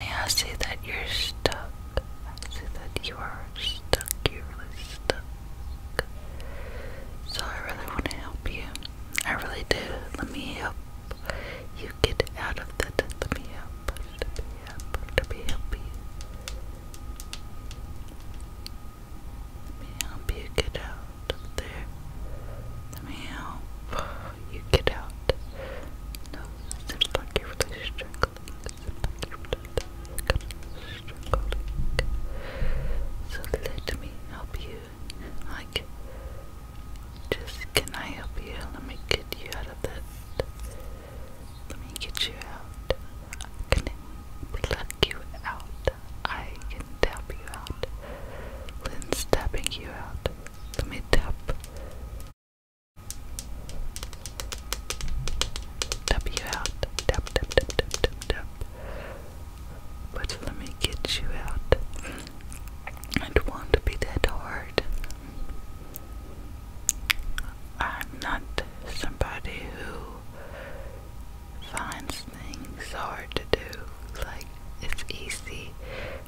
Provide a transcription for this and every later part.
I see that you're stuck. I see that you are stuck. You're really stuck. So I really want to help you. I really do. Let me help you get out of that. Let me help. Let me help you get out of there. Let me help you get out not. No, seems like you're really struggling. Seems like you're really struggling. So let me help you. Like, just can I help you? Let me get you out of that. Let me get you out. I can pluck you out. I can tap you out. Lynn's tapping you out. Let me tap. W out. Dub, dub, dub, dub, dub, dub. But let me get you out. It won't be that hard. I'm not somebody who finds things hard to do. Like, it's easy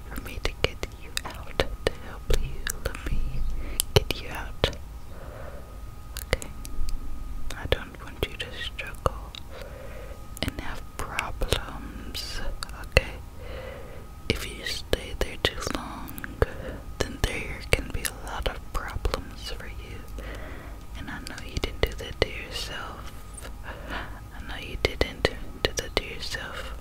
for me to get you out, to help you. Let me get you out. Okay. I don't want you to struggle and have problems. Okay. If you stay there too long, then there can be a lot of problems for you. And I know you didn't do that to yourself. I know you didn't do that to yourself,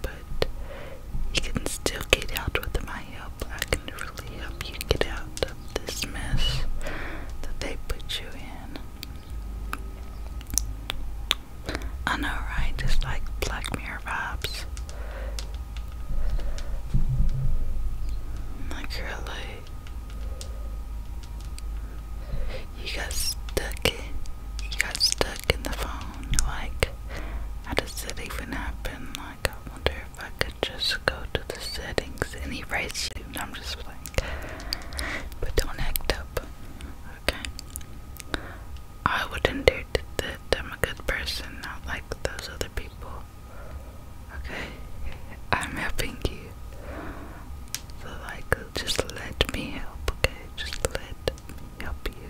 but you can still get out with my help. I can really help you get out of this mess that they put you in. I know, right? Just like Black Mirror vibes. Like, really. You got stuck in you got stuck in the phone, like how does it even happen? Like I wonder if I could just go to the settings and erase it. I'm just like But don't act up. Okay. I wouldn't dare to that I'm a good person, not like those other people. Okay, I'm helping you. So, like, just let me help, okay? Just let me help you.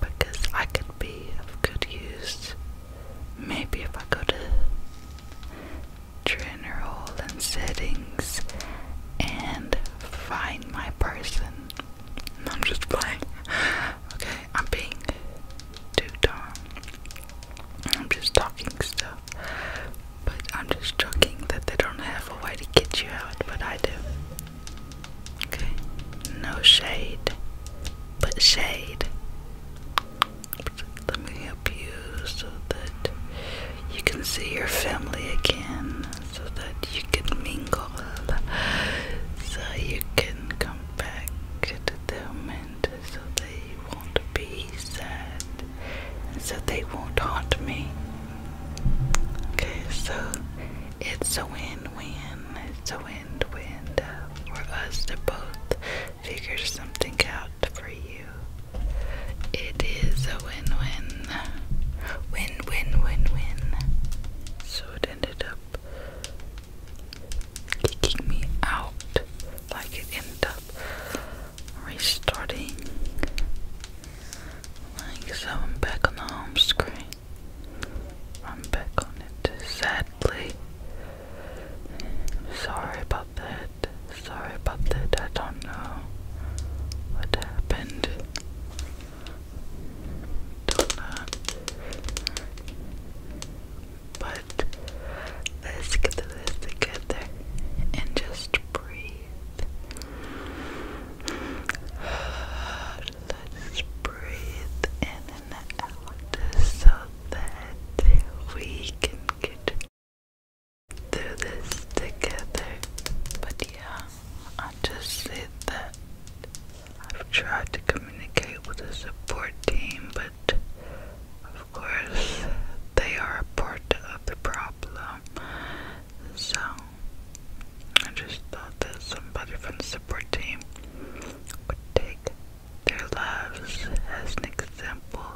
Because I could be of good use. Maybe if I go to General and Settings and find my person. I'm just playing. Okay, I'm being too dumb. I'm just talking stuff, but I'm just joking that they don't have a way to get you out, but I do. Okay, no shade, but shade. Let me help you so that you can see your family again, so that you can mingle, so you can come back get them and so they won't be sad, and so they won't haunt me. Okay, so it's a win-win. It's a win-win uh, for us to both figure something out for you. It is a win-win. Win-win-win-win. So it ended up kicking me out like it ended restarting so I'm back on the home screen I'm back on it sadly sorry about that sorry about that I don't know what happened don't know. But Let's get this together and just breathe. Let's breathe in and out so that we can get through this together. But yeah, I just said that I've tried to communicate with the support team, but of course they are a part of the problem. So I just thought that somebody from the support team would take their lives as an example,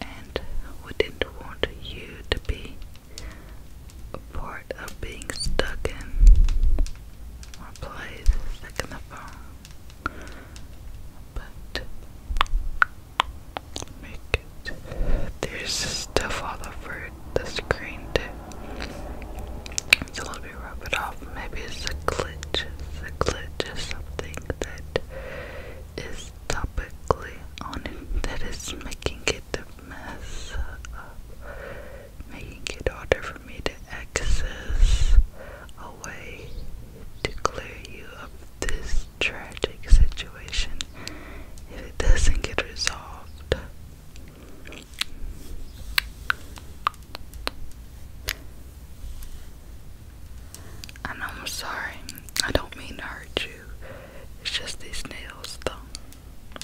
and we didn't want you to be a part of being stuck in or play the thick in the phone, but make it. There's stuff all over the screen too. So let me rub off. Maybe it's a glitch. It's a glitch or something that is topically on it that is making it a mess making it harder for me to access a way to clear you of this tragic situation if it doesn't get resolved. And I'm sorry, I don't mean to hurt you. It's just these nails, though.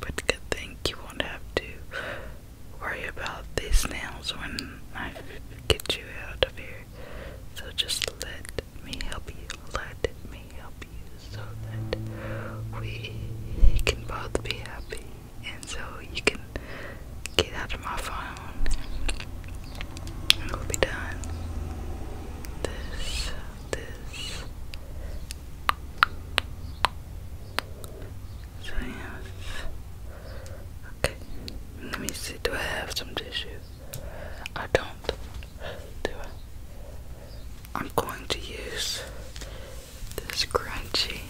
But good thing you won't have to worry about these nails when I get you out of here. So just let me help you. Let me help you so that we can both be happy. And so you can get out of my phone and we'll be done. This this. So yes. Okay. Let me see. Do I have some tissue? I don't. Do I? I'm going to use this crunchy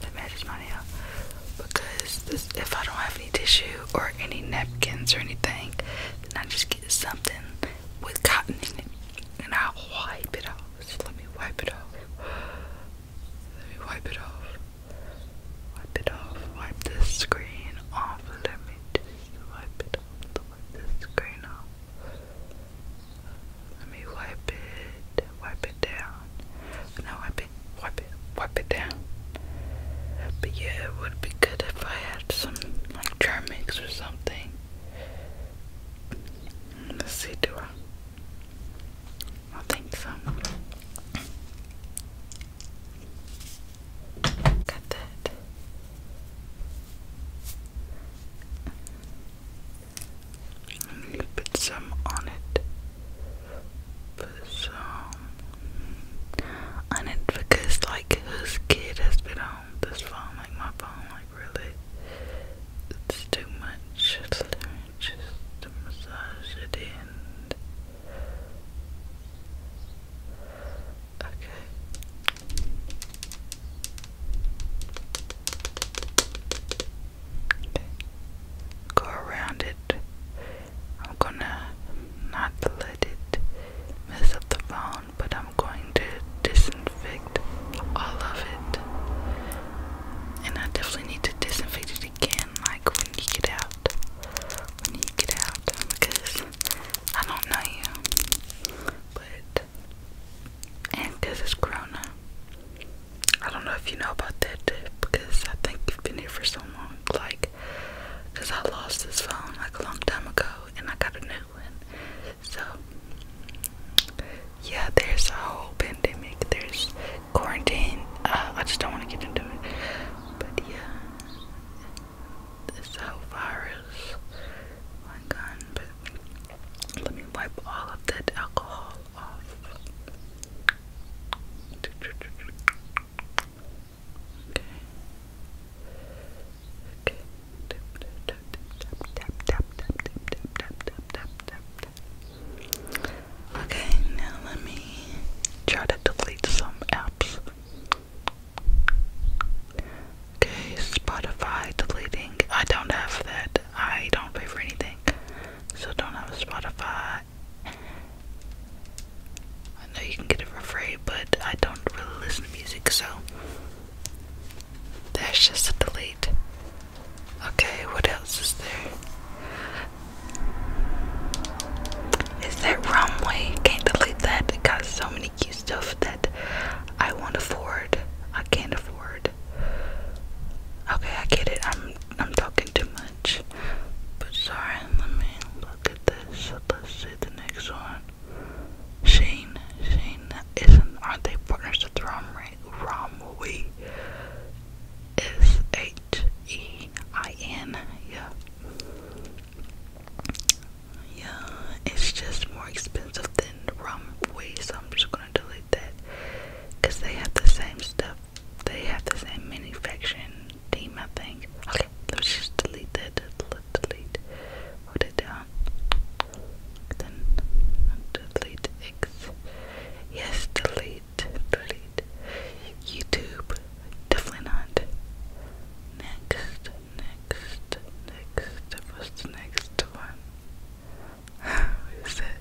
that matches my nail because this, if I don't have any tissue or any napkins or anything, then I just get something with cotton in it. And I'll wipe it off. Just let me wipe it off. Let me wipe it off. Wipe it off. Wipe this screen off. Let me just wipe it off. Wipe this screen off. Let me wipe it. Wipe it down. Now wipe it. Wipe it. Wipe it down. But yeah, it would be good if I had some like Germix or something something. Let's see, do I? I think so. Got that. put some on it. Put some on it because, like, whose kid has been phone, this phone, like my phone, like really, it's too much. Let me just massage it in. Okay. Okay. Go around it. I'm gonna not let I did mess up the phone, but I'm going to disinfect all of it. And I definitely need to disinfect it again, like when you get out. When you get out, because I don't know you. But, and because it's Corona. I don't know if you know about that, because I think you've been here for so long. Like, because I lost this phone like a long time ago and I got a new one. So, yeah, there's a whole pandemic, there's quarantine. Uh, I just don't want to get into it, but yeah, this whole virus. My gun, let me wipe all of that alcohol off. Okay. Okay. Tap tap tap tap tap tap tap tap tap tap tap. Okay, now let me try to delete some apps. Okay, Spotify deleting. I don't have that. I don't pay for anything. So don't have Spotify. I know you can get it for free, but I don't really listen to music, so that's just a delete. Okay, what else is there? Is that runway? Can't delete that. It got so many cute stuff that I won't afford. I can't afford. Okay, I get it. I'm I'm talking too much. But sorry, let me look at this. Let's see the next one. Shane, Shane, isn't aren't they partners with Romwe? Romwe is H E I N. Yeah, yeah. It's just more expensive than Romwe, so I'm just gonna delete that because they have the same stuff they have the same manufacturing team, I think. Okay, let's just delete that. Let's delete. Put it down. Then delete X. Yes, delete. Delete. YouTube. Definitely not. Next. Next. Next. What's the next one? Who said?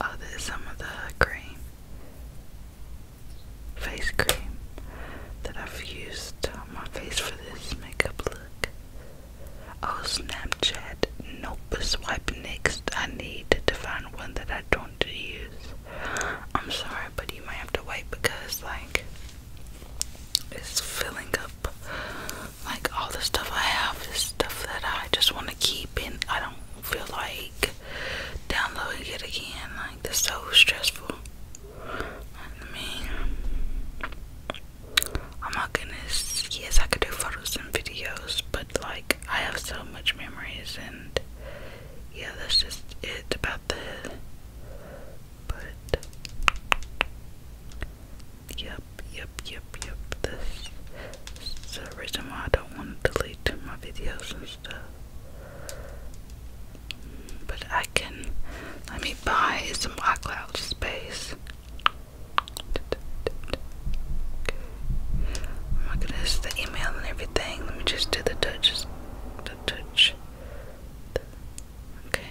Oh, there's some of the cream face cream that I've used on my face for this makeup look. Oh, Snapchat. Nope. Swipe next. I need to find one that I don't use. I'm sorry, but you might have to wait because, like, it's filling up. Like, all the stuff I have is stuff that I just want to to keep and I don't feel like downloading it again. Like that's so stressful. I mean Oh my goodness, yes I could do photos and videos, but like I have so much memories and yeah, that's just it about the but yep, yep, yep, yep, this it's the reason why I don't want to delete my videos and stuff. But I can let me buy some iCloud space. Okay. Oh my goodness, the email and everything. Let me just do the touch. The touch. Okay.